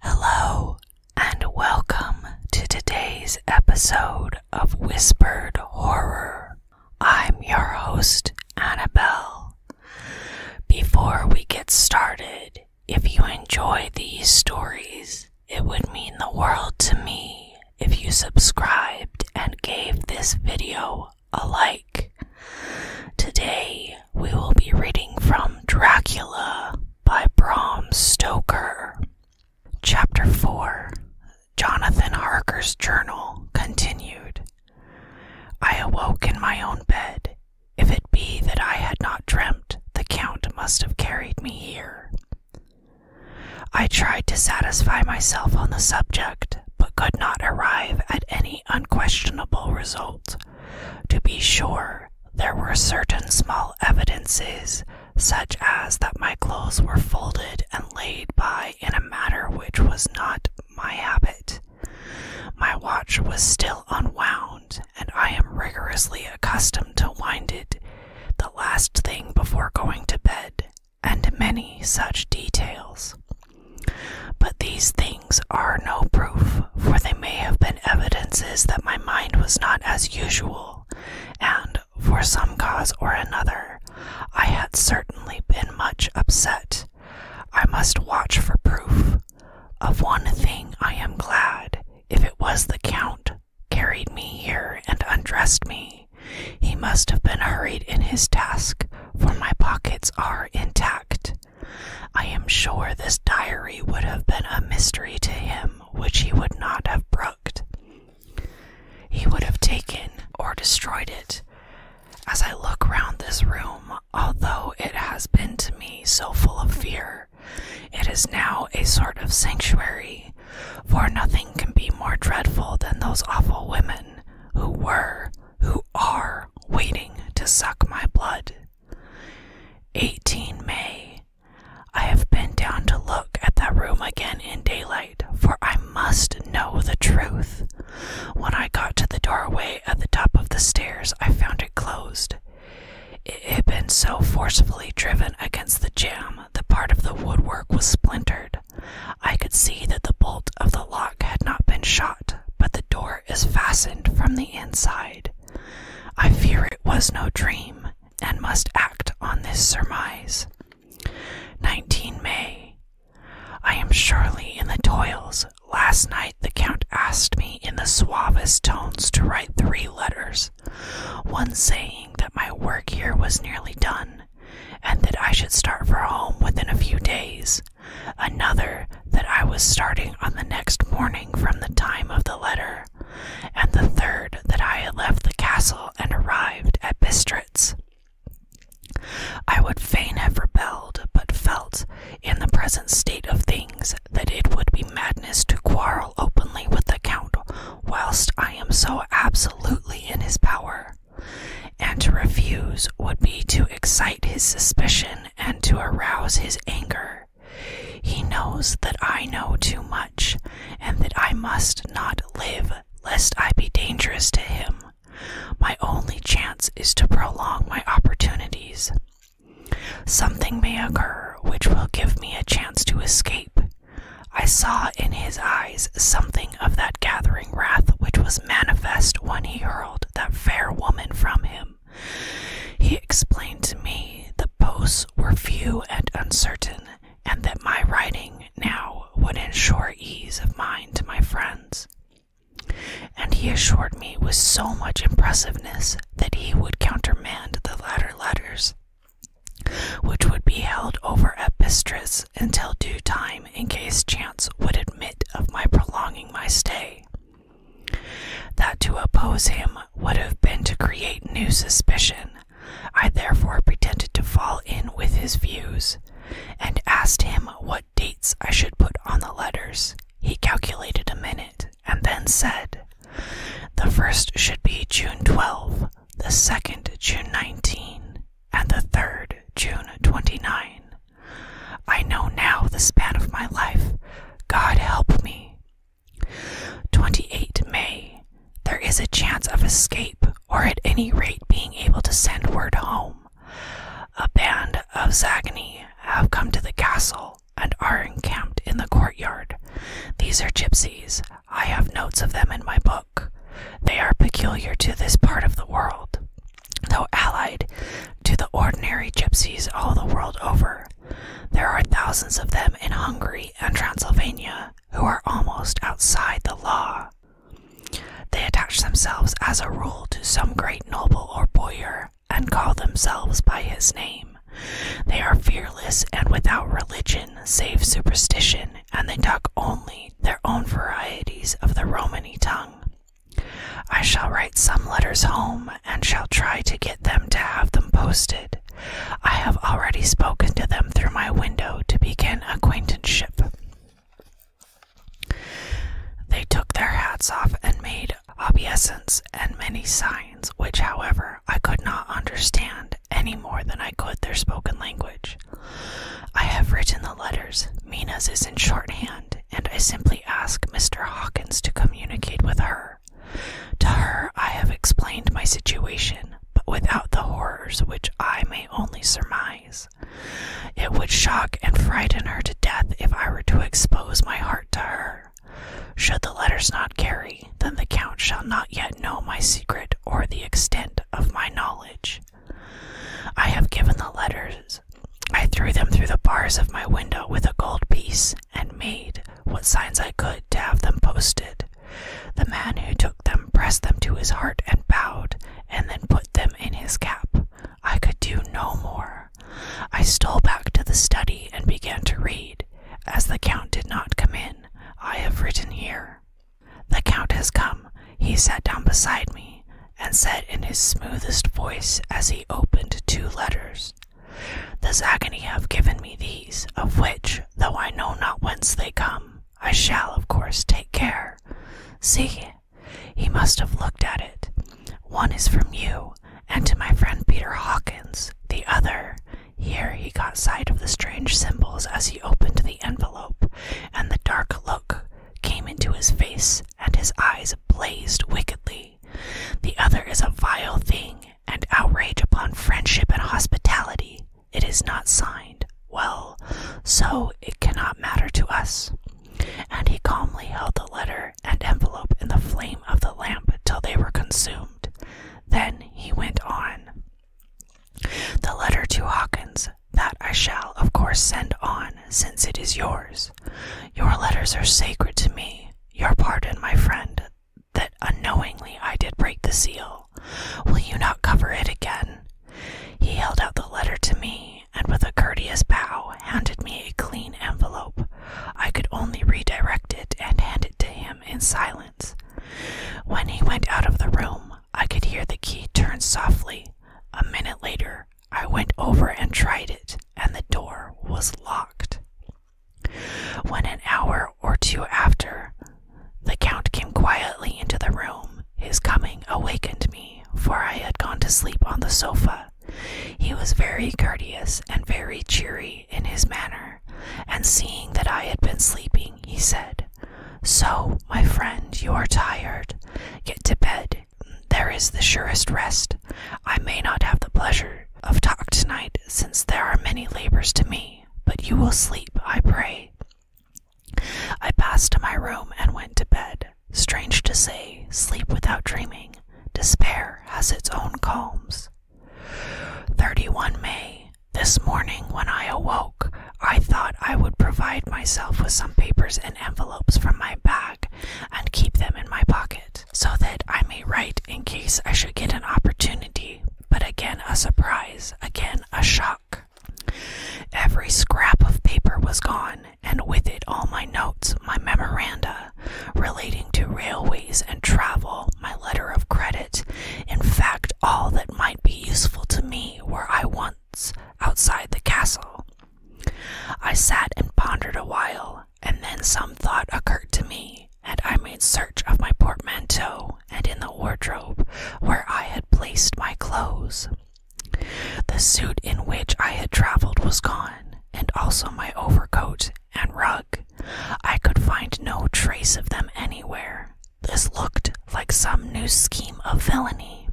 Hello, and welcome to today's episode of Whispered Horror. I'm your host, Annabelle. Before we get started, if you enjoy these stories, it would mean the world to me if you subscribed and gave this video a like. Today, we will be reading from Dracula by Bram Stoker. Chapter 4 Jonathan Harker's Journal Continued. I awoke in my own bed. If it be that I had not dreamt, the Count must have carried me here. I tried to satisfy myself on the subject, but could not arrive at any unquestionable result. To be sure, there were certain small evidences, such as that my clothes were folded and laid by in a manner which was not my habit. My watch was still unwound, and I am rigorously accustomed to wind it, the last thing before going to bed, and many such details. But these things are no proof, for they may have been evidences that my mind was not as usual, and, for some cause or another, I had certainly been much upset. I must watch for proof. Of one thing I am glad, if it was the Count carried me here and undressed me. He must have been hurried in his task, for my pockets are intact. I am sure this diary would have been a mystery to him which he would not have brooked. He would have taken or destroyed it. As I look round this room, although it has been to me so full of fear, it is now a sort of sanctuary, for nothing can be more dreadful than those awful women who were, who are, waiting to suck my blood. 18 May. I have been down to look at that room again in daylight, for I must know the truth. When I got to the doorway at the top of the stairs, I found it closed. It had been so forcibly driven against the jamb that part of the woodwork was splintered. I could see that the bolt of the lock had not been shot, but the door is fastened from the inside. I fear it was no dream, and must act on this surmise. 19 May. I am surely in the toils. Last night the Count asked me in the suavest tones to write three letters, one saying that my work here was nearly done, and that I should start for home within a few days, another that I was starting on the next morning from the time of the letter, and the third that I had left the castle and arrived at Bistritz. I would fain have rebelled, but felt, in the present state of things, that it would be madness to quarrel openly with the Count whilst I am so absolutely in his power, and to refuse would be to excite his suspicion and to arouse his anger. He knows that I know too much, and that I must not live lest I be dangerous to him. My only chance is to prolong my opportunities. Something may occur which will give me a chance to escape. I saw in his eyes something of that gathering wrath which was manifest when he hurled that fair woman from him. He explained to me the posts were few and uncertain, and that my writing now would ensure ease of mind to my friends. And he assured me with so much impressiveness that he would countermand the latter letters, which would be held over at Bistres until due time in case chance would admit of my prolonging my stay. That to oppose him would have been to create new suspicion. I therefore pretended to fall in with his views, and asked him what dates I should put on the letters. He calculated a minute, and then said, The first should be June 12, the second June 19, and the third June 29. I know now the span of my life. God help me. 28 May. There is a chance of escape, or at any rate being able to send word home. A band of Zagani have come to the castle and are encamped in the courtyard. These are gypsies. I have notes of them in my book. They are peculiar to this part of the world. Though allied to the ordinary gypsies all the world over, there are thousands of them in Hungary and Transylvania who are almost outside the law. They attach themselves as a rule to some great noble or boyar and call themselves by his name. They are fearless and without religion save superstition, and they talk only their own varieties of the Romany tongue. I shall write some letters home and shall try to get them to have them posted. I have already spoken to them through my window to begin acquaintanceship. They took their hats off and made obeisance and many signs, which, however, I could not understand any more than I could their spoken language. I have written the letters. Mina's is in shorthand, and I simply ask Mr. Hawkins to communicate with her. To her, I have explained my situation, but without the horrors which I may only surmise. It would shock and frighten her to death if I were to expose my heart to her. Should the letters not carry, then the Count shall not yet know my secret or the extent of my knowledge. I have given the letters I threw them through the bars of my window with a gold piece and made what signs I could to have them posted. The man who took them pressed them to his heart and bowed, and then put them in his cap. I could do no more. I stole back to the study and began to read. As the count did not come in, I have written here. The count has come. He sat down beside me and said in his smoothest voice as he opened two letters, The agony have given me these, of which, though I know not whence they come, I shall, of course, take care. See, he must have looked at it. One is from you, and to my friend Peter Hawkins. The other, here he got sight of the strange symbols as he opened the envelope, and the dark look came into his face, and his eyes blazed wickedly the other is a vile thing, and outrage upon friendship and hospitality. It is not signed. Well, so it cannot matter to us. And he calmly held the letter and envelope in the flame of the lamp till they were consumed. Then he went on. The letter to Hawkins, that I shall, of course, send on, since it is yours. Your letters are sacred to me. Your pardon, my friend, that unknowingly I did break the seal. Will you not cover it again? He held out the letter to me, and with a courteous bow handed me a clean envelope. I could only redirect it and hand it to him in silence. When he went out of the room, I could hear the key turn softly. A minute later, I went over and tried it, and the door was locked. When an hour or two after, the Count came quietly into the room, his coming awakened me, for I had gone to sleep on the sofa. He was very courteous and very cheery in his manner, and seeing that I had been sleeping, he said, So, my friend, you are tired. Get to bed. There is the surest rest. I may not have the pleasure of talk tonight, since there are many labors to me, but you will sleep, I pray. I passed to my room and went to bed. Strange to say, sleep without dreaming. Despair has its own calms. 31 May. This morning, when I awoke, I thought I would provide myself with some papers and envelopes from my bag and keep them in my pocket so that I may write in case I should get an opportunity, but again a surprise, again a shock. Every scrap of paper was gone, and with it all my notes, my memoranda relating to railways and travel, my letter of credit, in fact, all that might be useful to me were I once outside the castle. I sat and pondered a while, and then some thought occurred to me, and I made search of my portmanteau and in the wardrobe where I had placed my clothes. The suit in which I had traveled was gone, and also my overcoat and rug. I could find no trace of them anywhere. This looked like some new scheme of villainy.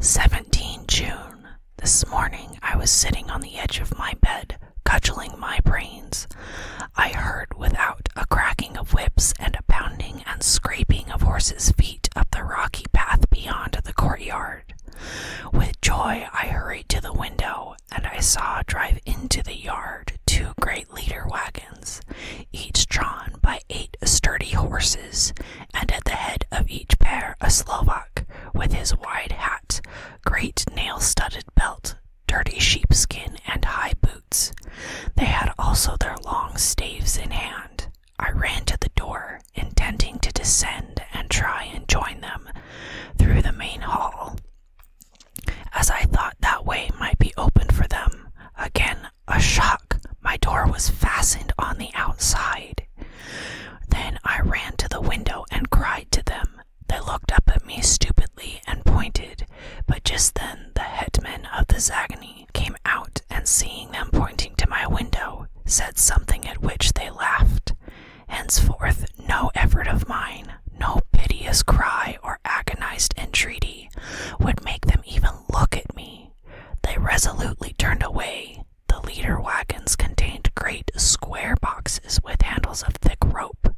17 June. This morning I was sitting on the edge of my bed, cudgeling my brains. I heard without a cracking of whips and a pounding and scraping of horses' feet up the rocky path beyond the courtyard. With joy I hurried to the window, and I saw drive into the yard two great leader wagons, each drawn by eight sturdy horses, and at the head of each pair a Slovak, with his wide hat, great nail studded belt, dirty sheepskin, and high boots. They had also their long staves in hand. I ran to the door, intending to descend and try and join them through the main hall, as I thought that way might be open for them. Again, a shot my door was fastened on the outside. Then I ran to the window and cried to them. They looked up at me stupidly and pointed, but just then the headman of the Zagani came out and, seeing them pointing to my window, said something at which they laughed. Henceforth, no effort of mine, no piteous cry or agonized entreaty, would make them even look at me. They resolutely turned away, the leader wagons contained great square boxes with handles of thick rope.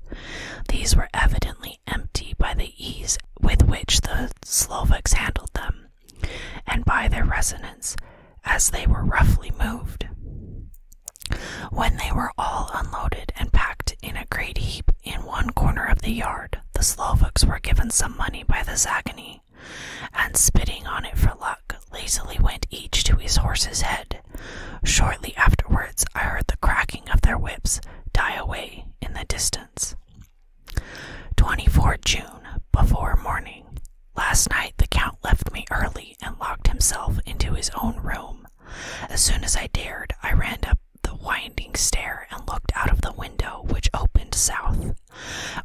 These were evidently empty by the ease with which the Slovaks handled them, and by their resonance, as they were roughly moved. When they were all unloaded and packed in a great heap in one corner of the yard, the Slovaks were given some money by the Zagani and spitting on it for luck, lazily went each to his horse's head. Shortly afterwards, I heard the cracking of their whips die away in the distance. 24 June, before morning. Last night the Count left me early and locked himself into his own room. As soon as I dared, I ran up the winding stair and looked out of the window which opened south.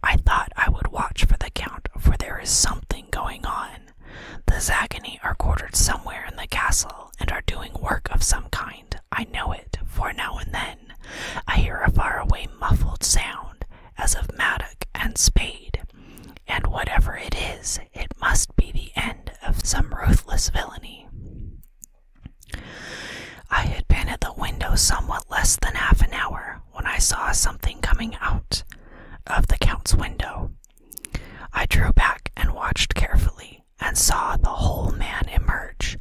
I thought I would watch for the count, for there is something going on. The Zagani are quartered somewhere in the castle and are doing work of some kind. I know it, for now and then I hear a far away, muffled sound, as of mattock and spade. And whatever it is, it must be the end of some ruthless villainy. I had been at the window somewhat less than half an hour when I saw something coming out of the Count's window. I drew back and watched carefully and saw the whole man emerge.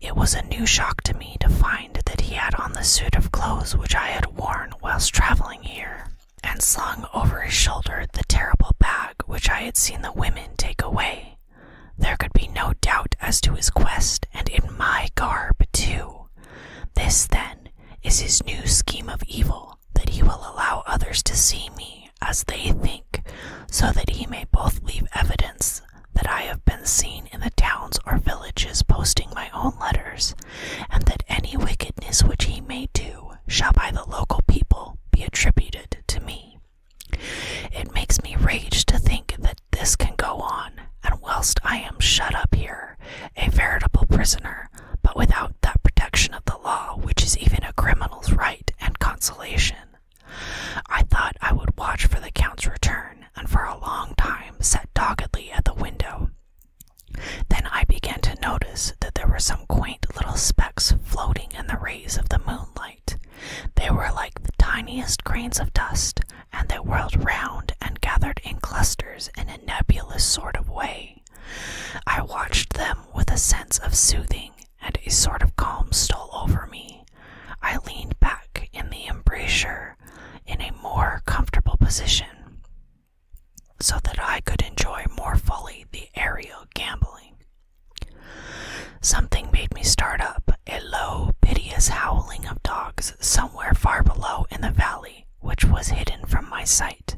It was a new shock to me to find that he had on the suit of clothes which I had worn whilst travelling here, and slung over his shoulder the terrible bag which I had seen the women take away. There could be no doubt as to his quest, and in my garb, too. This, then, is his new scheme of evil, that he will allow others to see me as they think, so that he may both leave evidence that I have been seen in the towns or villages posting my own letters, and that any wickedness which he may do shall by the local people be attributed to me. It makes me rage to think that this can go on, and whilst I am shut up here, a veritable prisoner, but without that protection of the law which is even a criminal's right and consolation, I thought I would watch for the Count's return, and for a long time sat doggedly at the window. Then I began to notice that there were some quaint little specks floating in the rays of the moonlight. They were like the tiniest grains of dust, and they whirled round and gathered in clusters in a nebulous sort of way. I watched them with a sense of soothing, and a sort of calm stole over me. I leaned back in the embrasure in a more comfortable position so that I could enjoy more fully the aerial gambling. Something made me start up, a low, piteous howling of dogs somewhere far below in the valley, which was hidden from my sight.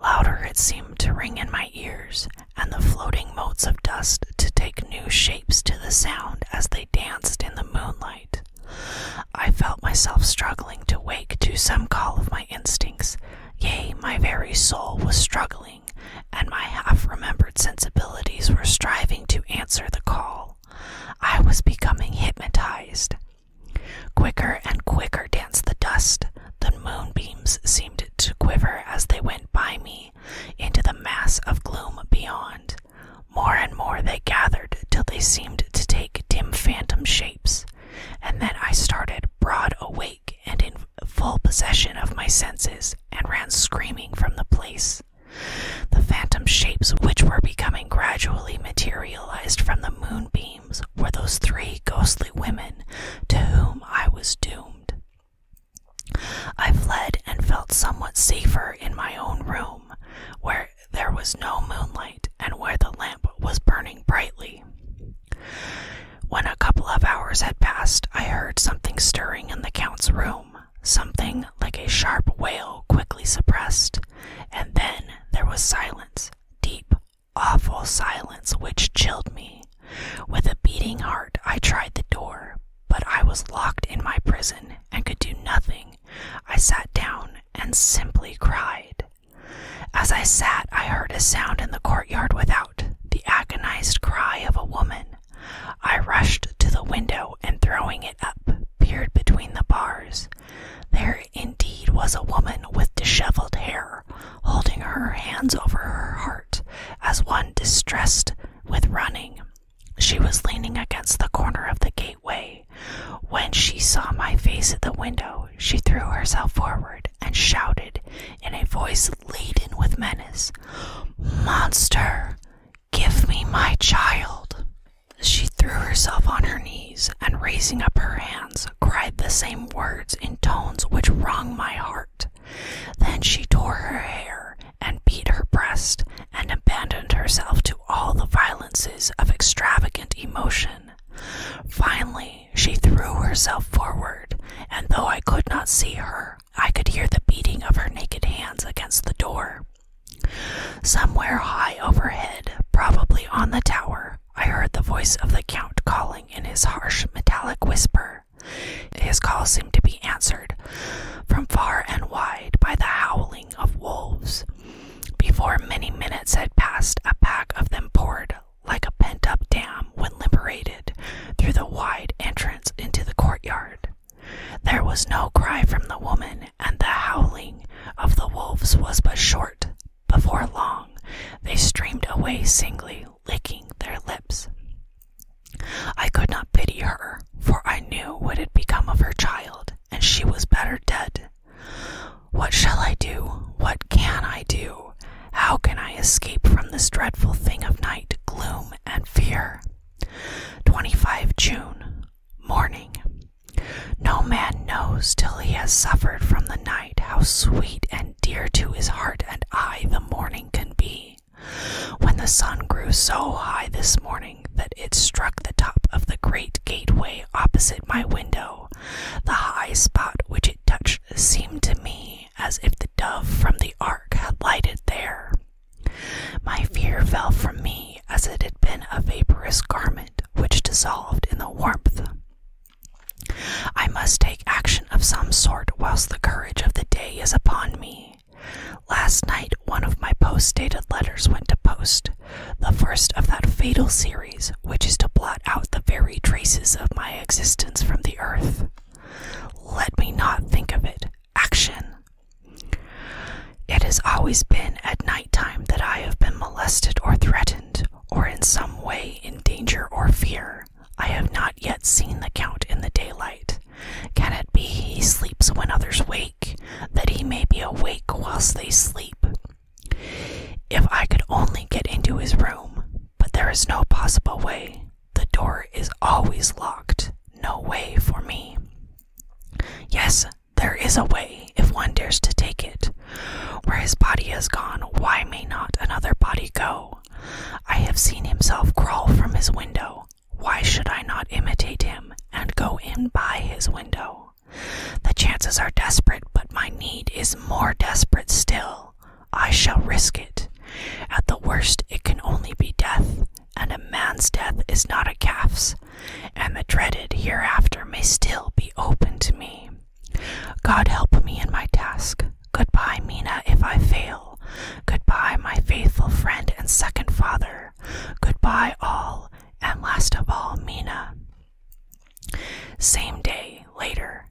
Louder it seemed to ring in my ears, and the floating motes of dust to take new shapes to the sound as they danced in the moonlight. I felt myself struggling to wake to some call of my instincts. Yea, my very soul was struggling, and my half remembered sensibilities were striving to answer the call. I was becoming hypnotized. Quicker and quicker danced the dust. The moonbeams seemed to quiver as they went by me into the mass of gloom beyond. More and more they gathered till they seemed to take dim phantom shapes, and then I started broad awake and in full possession of my senses and ran screaming from the place. The phantom shapes which were becoming gradually materialized from the moonbeams were those three ghostly women to whom I was doomed. I fled and felt somewhat safer in my own room, where there was no moonlight and where the lamp was burning brightly. When a couple of hours had passed, I heard something stirring in the Count's room something like a sharp wail quickly suppressed, and then there was silence, deep, awful silence, which chilled me. With a beating heart, I tried the door, but I was locked in my prison and could do nothing. I sat down and simply cried. As I sat, I heard a sound in the courtyard without, the agonized cry of a woman. I rushed to the window and throwing it up, peered between the bars. There indeed was a woman with disheveled hair, holding her hands over her heart, as one distressed with running. She was leaning against the corner of the gateway. When she saw my face at the window, she threw herself forward and shouted in a voice laden with menace, Monster! Give me my child. She threw herself on her knees and, raising up her hands, cried the same words in tones which wrung my heart. Then she tore her hair and beat her breast and abandoned herself to all the violences of extravagant emotion. Finally, she threw herself forward, and though I could not see her, I could hear the beating of her naked hands against the door. Somewhere high overhead, probably on the tower, I heard the voice of the Count calling in his harsh, metallic whisper. His call seemed to be answered from far and wide by the howling of wolves. Before many minutes had passed, a pack of them poured like a pent up dam when liberated through the wide entrance into the courtyard. There was no cry from the woman, and the howling of the wolves was but short. Before long, they streamed away singly, licking their lips. I could not pity her, for I knew what had become of her child, and she was better dead. What shall I do? What can I do? How can I escape from this dreadful thing of night, gloom, and fear? 25 June, morning. No man knows till he has suffered from the night how sweet and dear to his heart and eye the morning can be. When the sun grew so high this morning that it struck the top of the great gateway opposite my window, the high spot which it touched seemed to me as if the dove from the ark had lighted there. My fear fell from me as it had been a vaporous garment which dissolved in the warmth. I must take action of some sort whilst the courage of the day is upon me. Last night, one of my post dated letters went to post, the first of that fatal series which is to blot out the very traces of my existence from the earth. Let me not think of it. Action! It has always been at night time that I have been molested or threatened, or in some way in danger or fear. I have not yet seen the Count in the daylight. Can it be he sleeps when others wake, that he may be awake whilst they sleep? If I could only get into his room, but there is no possible way. The door is always locked. No way for me. Yes, there is a way if one dares to take it. Where his body has gone, why may not another body go? I have seen himself crawl from his window. Why should I not imitate him and go in by his window? The chances are desperate, but my need is more desperate still. I shall risk it. At the worst, it can only be death and a man's death is not a calf's, and the dreaded hereafter may still be open to me. God help me in my task. Goodbye, Mina, if I fail. Goodbye, my faithful friend and second father. Goodbye, all, and last of all, Mina. Same day, later.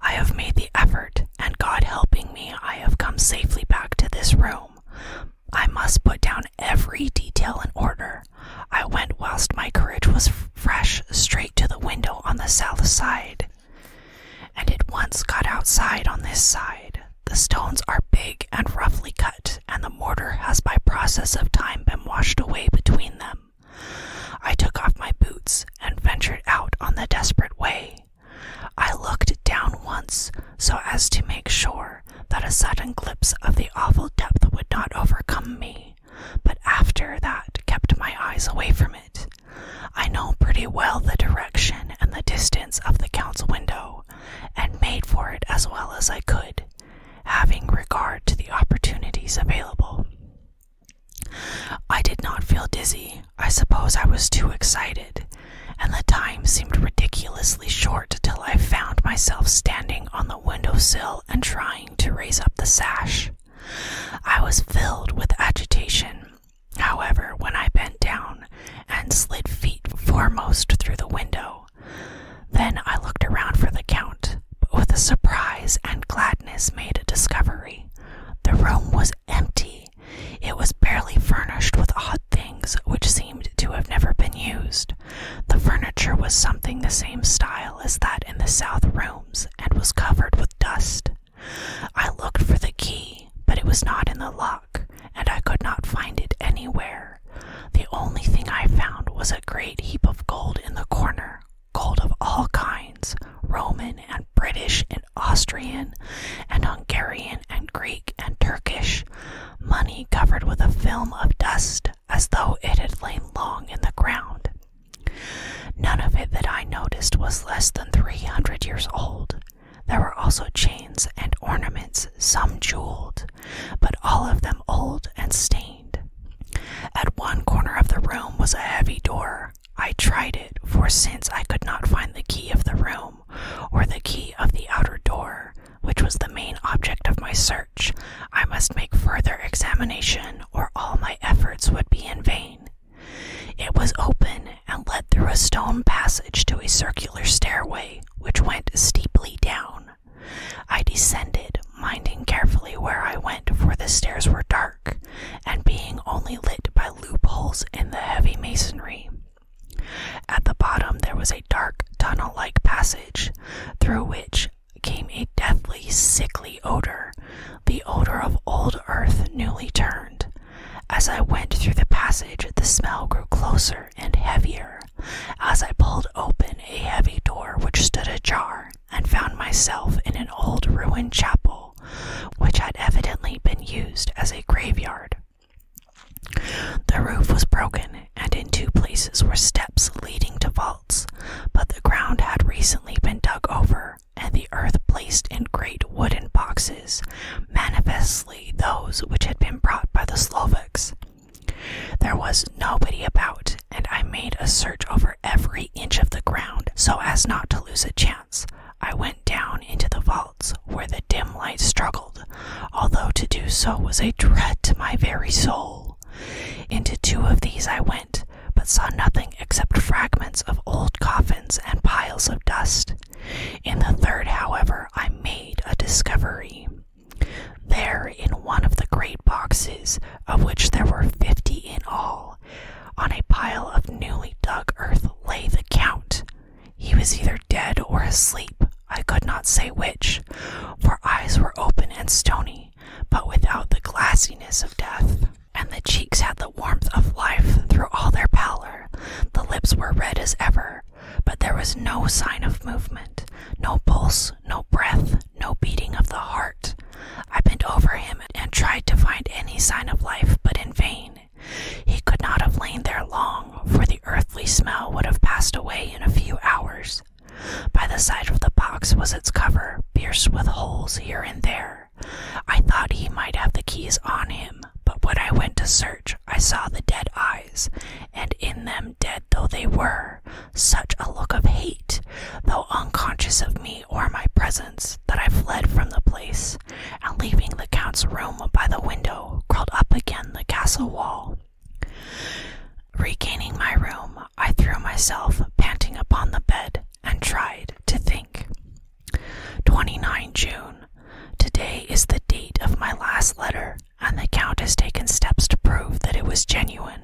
I have made the effort, and God helping me, I have come safely back to this room. I must put down every detail in order. I went whilst my courage was fresh straight to the window on the south side, and at once got outside on this side. The stones are big and roughly cut, and the mortar has by process of time been washed away between them. I took off my boots and ventured out on the desperate way. I looked down once so as to make sure that a sudden glimpse of the awful depth would not overcome me, but after that kept my eyes away from it. I know pretty well the direction and the distance of the council window, and made for it as well as I could, having regard to the opportunities available. I did not feel dizzy, I suppose I was too excited, and the time seemed ridiculously short till I found myself standing on the window sill and trying to raise up the sash. I was filled with agitation. However, when I bent down and slid feet foremost through the window, then I looked around for the count, but with a surprise and gladness made a discovery. The room was empty, it was barely furnished with odd things which seemed to have never been used. The furniture was something the same style as that in the south rooms and was covered with dust. I looked for the key, but it was not in the lock, and I could not find it anywhere. The only thing I found was a great heap of gold in the corner, gold of all kinds, Roman and British and Austrian and Hungarian and Greek and Turkish, money covered with a film of dust as though it had lain long in the ground. None of it that I noticed was less than three hundred years old. There were also chains and ornaments, some jeweled, but all of them old and stained. At one corner of the room was a heavy door, I tried it, for since I could not find the key of the room, or the key of the outer door, which was the main object of my search, I must make further examination, or all my efforts would be in vain. It was open and led through a stone passage to a circular stairway, which went steeply down. I descended, minding carefully where I went, for the stairs were dark, and being only lit by loopholes in the heavy masonry. At the bottom, there was a dark tunnel like passage through which came a deathly, sickly odor, the odor of old earth newly turned. As I went through the passage, the smell grew closer and heavier. As I pulled open a heavy door which stood ajar, and found myself in an old ruined chapel which had evidently been used as a graveyard. The roof was broken, and in two places were steps leading to vaults, but the ground had recently been dug over and the earth placed in great wooden boxes, manifestly those which had been brought by the Slovaks. There was nobody about, and I made a search over every inch of the ground so as not to lose a chance. I went down into the vault where the dim light struggled, although to do so was a dread to my very soul. Into two of these I went, but saw nothing except fragments of old coffins and piles of dust. In the third, however, I made a discovery. There, in one of the great boxes, of which there were fifty in all, on a pile of newly dug earth lay the Count. He was either dead or asleep, I could not say which, for eyes were open and stony, but without the glassiness of death, and the cheeks had the warmth of life through all their pallor. The lips were red as ever, but there was no sign of movement, no pulse, no breath, no beating of the heart. I bent over him and tried to find any sign of life, but in vain. He could not have lain there long, for the earthly smell would have passed away in a few hours. By the side of the box was its cover, pierced with holes here and there. I thought he might have the keys on him, but when I went to search, I saw the dead eyes, and in them, dead though they were, such a look of hate, though unconscious of me or my presence, that I fled from the place, and leaving the count's room by the window, crawled up again the castle wall. Regaining my room, I threw myself panting upon the bed and tried to think. 29 June. Today is the date of my last letter, and the Count has taken steps to prove that it was genuine,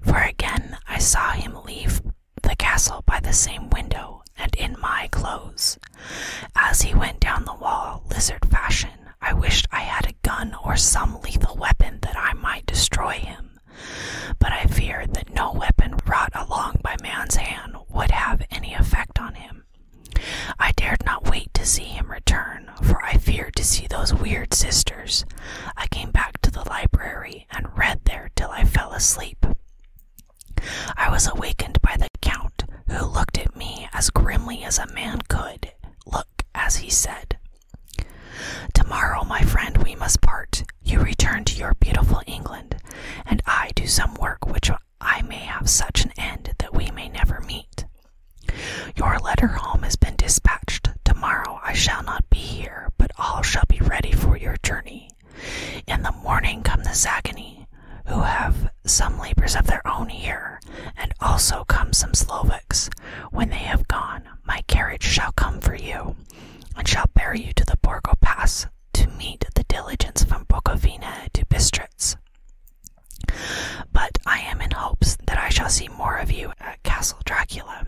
for again I saw him leave the castle by the same window and in my clothes. As he went down the wall, lizard fashion, I wished I had a gun or some lethal weapon that I might destroy him, but I feared that no weapon brought along by man's hand would have any effect on him. I dared not wait to see him return, for I feared to see those weird sisters. I came back to the library and read there till I fell asleep. I was awakened by the Count, who looked at me as grimly as a man could look as he said, Tomorrow, my friend, we must part. You return to your beautiful England, and I do some work which I may have such an end that we may never meet. Your letter home has been dispatched. Tomorrow I shall not be here, but all shall be ready for your journey. In the morning come the Zagani, who have some labors of their own here, and also come some Slovaks. When they have gone, my carriage shall come for you, and shall bear you to the Borgo Pass to meet the diligence from Bukovina to Bistritz. But I am in hopes that I shall see more of you at Castle Dracula.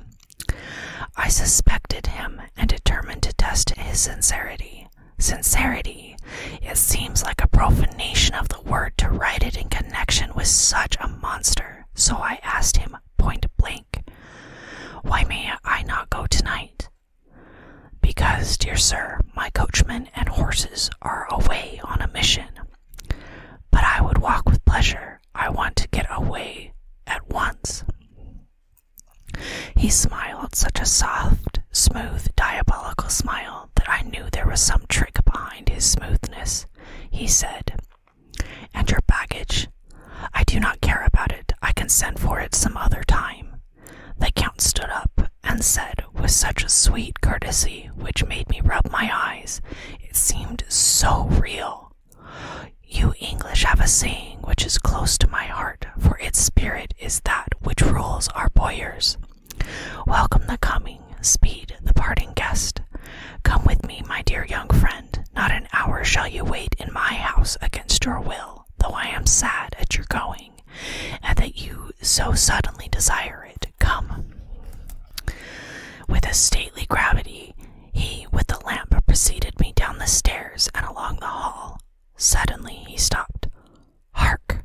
I suspected him and determined to test his sincerity sincerity. It seems like a profanation of the word to write it in connection with such a monster, so I asked him point blank, Why may I not go tonight? Because, dear sir, my coachman and horses are away on a mission. But I would walk with pleasure. I want to get away at once. He smiled such a soft, smooth, diabolical smile that I knew there was some trick behind his smoothness. He said, And your baggage? I do not care about it. I can send for it some other time. The Count stood up and said, with such a sweet courtesy which made me rub my eyes, it seemed so real. You English have a saying which is close to my heart, for its spirit is that which rules our boyers. Welcome the coming, speed the parting guest. Come with me, my dear young friend. Not an hour shall you wait in my house against your will, though I am sad at your going, and that you so suddenly desire it. Come. With a stately gravity, he with the lamp preceded me down the stairs and along the hall. Suddenly he stopped. Hark!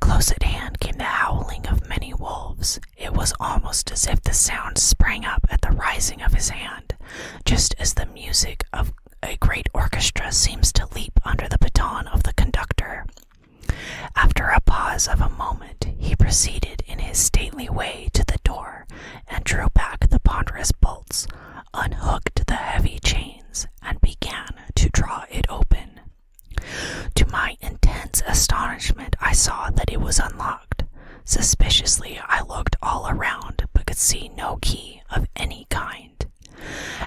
Close at hand came the howling of many wolves. It was almost as if the sound sprang up at the rising of his hand, just as the music of a great orchestra seems to leap under the baton of the conductor. After a pause of a moment, he proceeded in his stately way to the door and drew back the ponderous bolts, unhooked the heavy chains, and began to draw it open. To my intense astonishment, I saw that it was unlocked. Suspiciously, I looked all around but could see no key of any kind.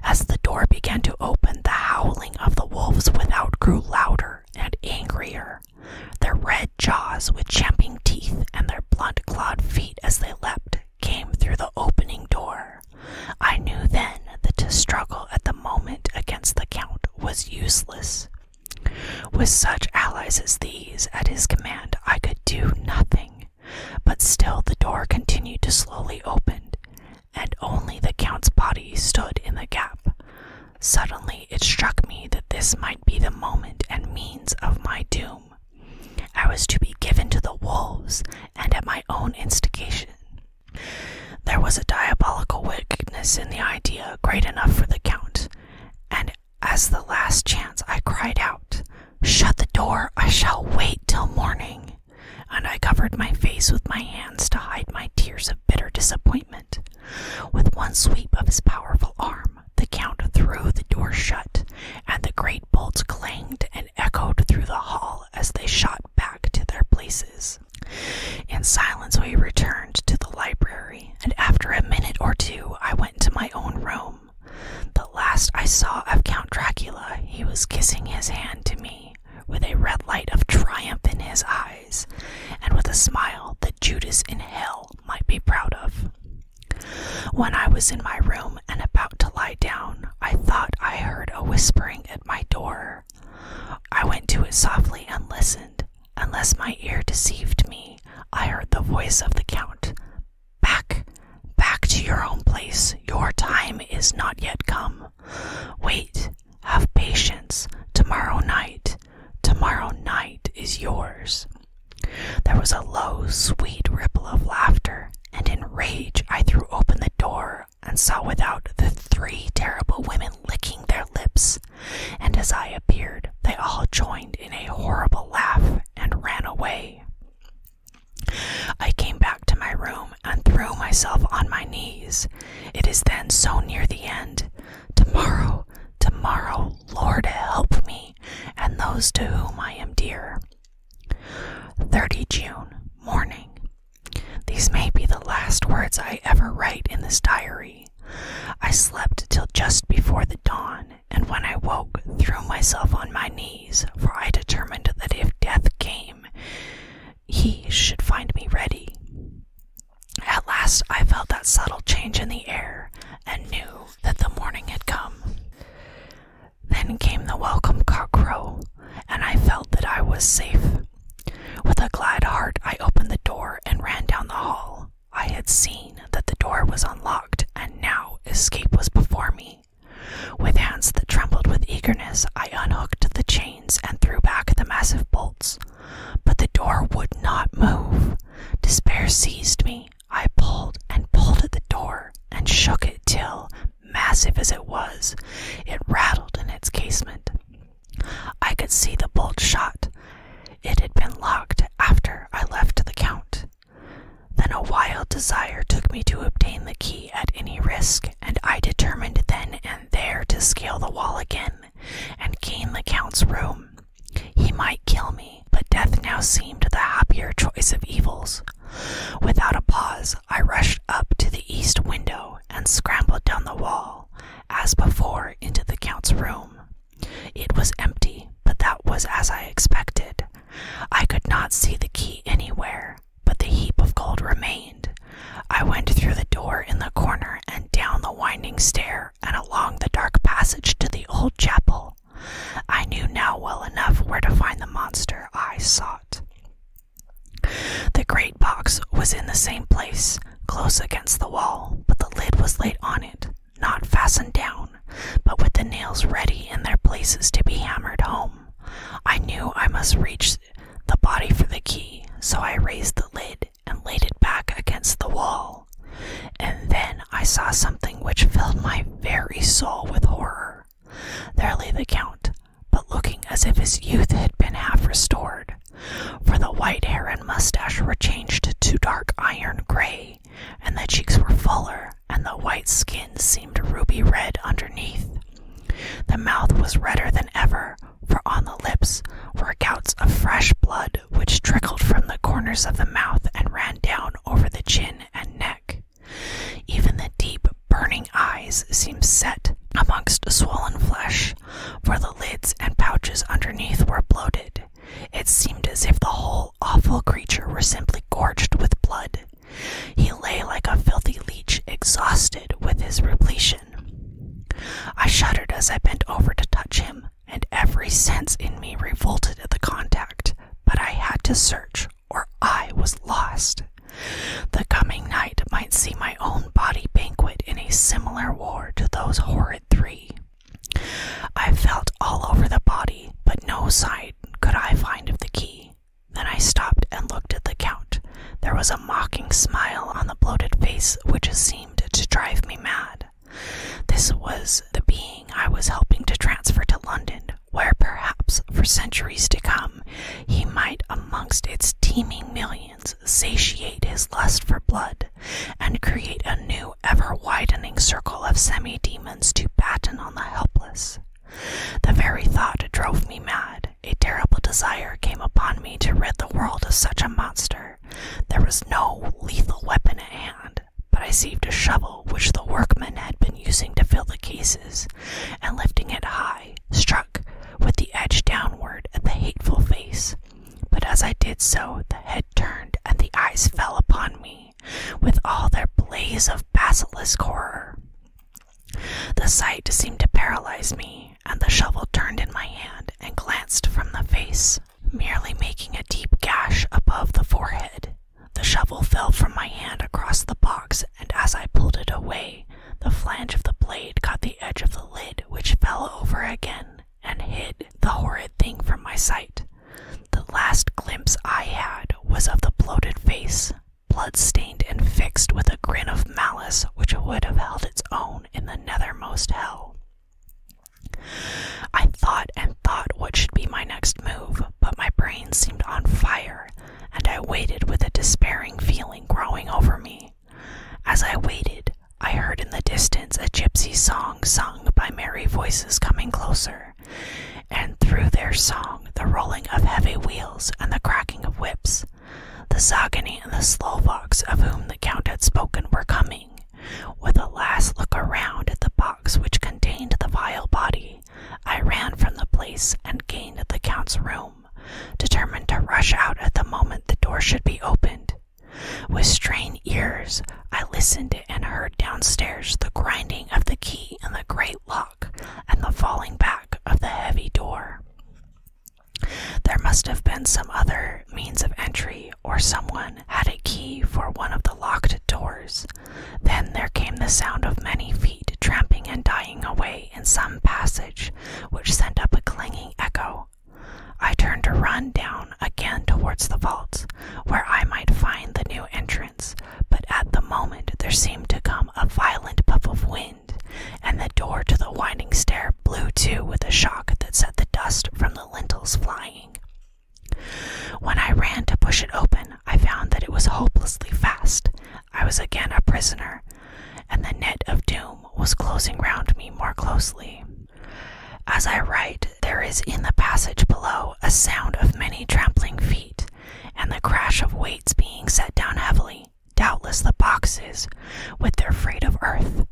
As the door began to open, the howling of the wolves without grew louder and angrier. Their red jaws with champing teeth and their blunt clawed feet as they leapt came through the opening door. I knew then that to struggle at the moment against the Count was useless. With such allies as these at his command, I could do nothing. But still, the door continued to slowly open, and only the Count's body stood in the gap. Suddenly, it struck me that this might be the moment and means of my doom. I was to be given to the wolves and at my own instigation. There was a diabolical wickedness in the idea great enough for the count, and as the last chance I cried out, Shut the door, I shall wait till morning. And I covered my face with my hands to hide my tears of bitter disappointment. With one sweep of his powerful arm, the count threw the door shut, and the great bolts clanged and echoed through the hall as they shot back to their places. In silence, we returned to the library, and after a minute or two, I went to my own room. The last I saw of Count Dracula, he was kissing his hand to me, with a red light of triumph in his eyes, and with a smile that Judas in hell might be proud of. When I was in my room and about to lie down, I thought I heard a whispering at my door. I went to it softly and listened. Unless my ear deceived me, I heard the voice of the Count Back, back to your own place. Your time is not yet come. Wait, have patience. Tomorrow night, tomorrow night is yours. There was a low, sweet ripple of laughter, and in rage I threw open the door and saw without the three terrible women licking their lips. And as I appeared, they all joined in a horrible laugh and ran away. I came back to my room and threw myself on my knees. It is then so near the end. Tomorrow, tomorrow, Lord help me and those to whom I am dear. 30 June, morning. These may be the last words I ever write in this diary. I slept till just before the dawn, and when I woke, threw myself on my knees, for I determined that if death came, he should find me ready. At last I felt that subtle change in the air, and knew that the morning had come. Then came the welcome cockcrow, and I felt that I was safe. With a glad heart, I opened the door and ran down the hall. I had seen that the door was unlocked, and now escape was before me. With hands that trembled with eagerness, I unhooked the chains and threw back the massive bolts. But the door would not move. Despair seized me. I pulled and pulled at the door and shook it till, massive as it was, it rattled in its casement. I could see the bolt shot. It had been locked after I left the count. Then a wild desire took me to obtain the key at any risk, and I determined then and there to scale the wall again and gain the count's room. He might kill me, but death now seemed the happier choice of evils. Without a pause, I rushed up to the east window and scrambled down the wall, as before, into the Count's room. It was empty, but that was as I expected. I could not see the key anywhere, but the heap of gold remained. I went through the door in the corner and down the winding stair and along the dark passage to the old chapel, I knew now well enough where to find the monster I sought. The great box was in the same place, close against the wall, but the lid was laid on it, not fastened down, but with the nails ready in their places to be hammered home. I knew I must reach the body for the key, so I raised the lid and laid it back against the wall. And then I saw something which filled my very soul with horror. There lay the Count, but looking as if his youth had been half restored, for the white hair and mustache were changed to dark iron gray, and the cheeks were fuller, and the white skin seemed ruby red underneath. The mouth was redder than ever, for on the lips were gouts of fresh blood which trickled from the corners of the mouth and ran down over the chin and neck. Even the deep, burning eyes seemed set amongst swollen flesh, for the lids and pouches underneath were bloated. It seemed as if the whole awful creature were simply gorged with blood. He lay like a filthy leech, exhausted with his repletion. I shuddered as I bent over to touch him, and every sense in me revolted at the contact, but I had to search, or I was lost. The coming night might see my own body banquet in a similar war to those horrid three. I felt all over the body, but no sign could I find of the key. Then I stopped and looked at the count. There was a mocking smile on the bloated face which seemed to drive me mad. This was the being I was helping to transfer to London, where perhaps for centuries to come he might, amongst its teeming millions, satiate his lust for blood and create a new, ever widening circle of semi demons to batten on the helpless. The very thought drove me mad. A terrible desire came upon me to rid the world of such a monster. There was no lethal weapon at hand, but I saved a shovel which the workmen had been using to fill the cases, and lifting it high, struck with the edge downward at the hateful face. But as I did so, the head turned and the eyes fell upon me with all their blaze of basilisk horror. The sight seemed to paralyze me, and the shovel turned in my hand and glanced from the face merely making a deep gash above the forehead. The shovel fell from my hand across the box, and as I pulled it away, the flange of the blade caught the edge of the lid, which fell over again and hid the horrid thing from my sight. The last glimpse I had was of the bloated face, blood-stained and fixed with a grin of malice which would have held its own in the nethermost hell. I thought and thought what should be my next move, but my brain seemed on fire, and I waited with a despairing feeling growing over me. As I waited, I heard in the distance a gypsy song sung by merry voices coming closer, and through their song the rolling of heavy wheels and the cracking of whips. The Zagani and the Slovaks of whom the Count had spoken were coming, with a last look around at the box which contained the vile body, I ran from the place and gained the count's room, determined to rush out at the moment the door should be opened. With strained ears, I listened and heard downstairs the grinding of the key in the great lock and the falling back of the heavy door. There must have been some other means of entry, or someone had a key for one of the locked doors. Then there came the sound of many feet tramping and dying away in some passage, which sent up a clanging echo. I turned to run down again towards the vaults, where I might find the new entrance, but at the moment there seemed to come a violent puff of wind, and the door to the winding stair blew to with a shock that set the dust from the lintels flying. When I ran to push it open, I found that it was hopelessly fast. I was again a prisoner, and the net of doom was closing round me more closely. As I write, there is in the passage below a sound of many trampling feet, and the crash of weights being set down heavily. Doubtless the boxes, with their freight of earth.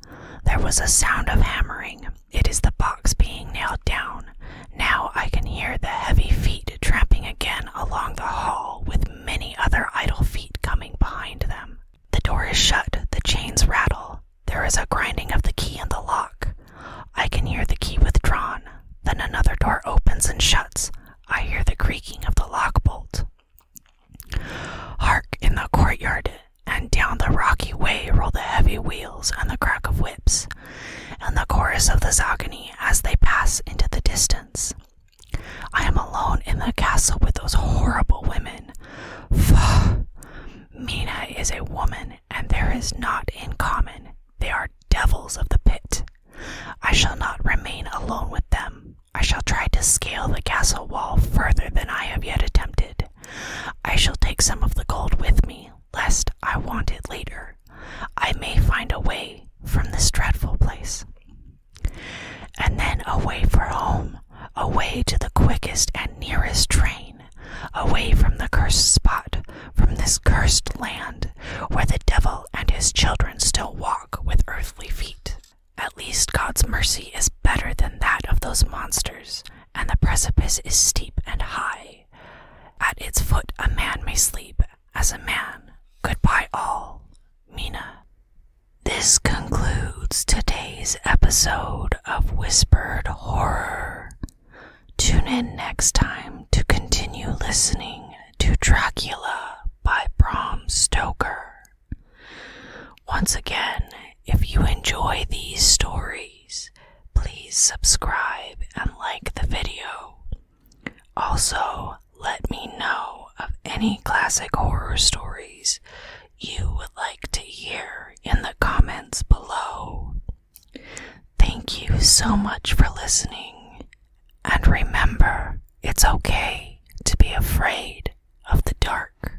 There was a sound of hammering, it is the box being nailed down. Now I can hear the heavy feet tramping again along the hall, with many other idle feet coming behind them. The door is shut, the chains rattle. There is a grinding of the key in the lock. I can hear the key withdrawn. Then another door opens and shuts. I hear the creaking of the lock bolt. Hark! In the courtyard, and down the rocky way roll the heavy wheels and the crack of whips, and the chorus of the zogani as they pass into the distance. I am alone in the castle with those horrible women. Faugh! Mina is a woman, and there is naught in common. They are devils of the pit. I shall not remain alone with them. I shall try to scale the castle wall further than I have yet attempted. I shall take some of the gold with me, lest I want it later. I may find a way from this dreadful place. And then away for home, away to the quickest and nearest train, away from the cursed spot, from this cursed land, where the devil and his children still walk with earthly feet. At least God's mercy is better than that of those monsters, and the precipice is steep and high. At its foot a man may sleep, as a man. Goodbye, all. Mina. This concludes today's episode of Whispered Horror. Tune in next time to continue listening to Dracula by Bram Stoker. Once again, if you enjoy these stories, please subscribe and like the video. Also, let me know of any classic horror stories you would like to hear in the comments below. Thank you so much for listening, and remember, it's okay to be afraid of the dark.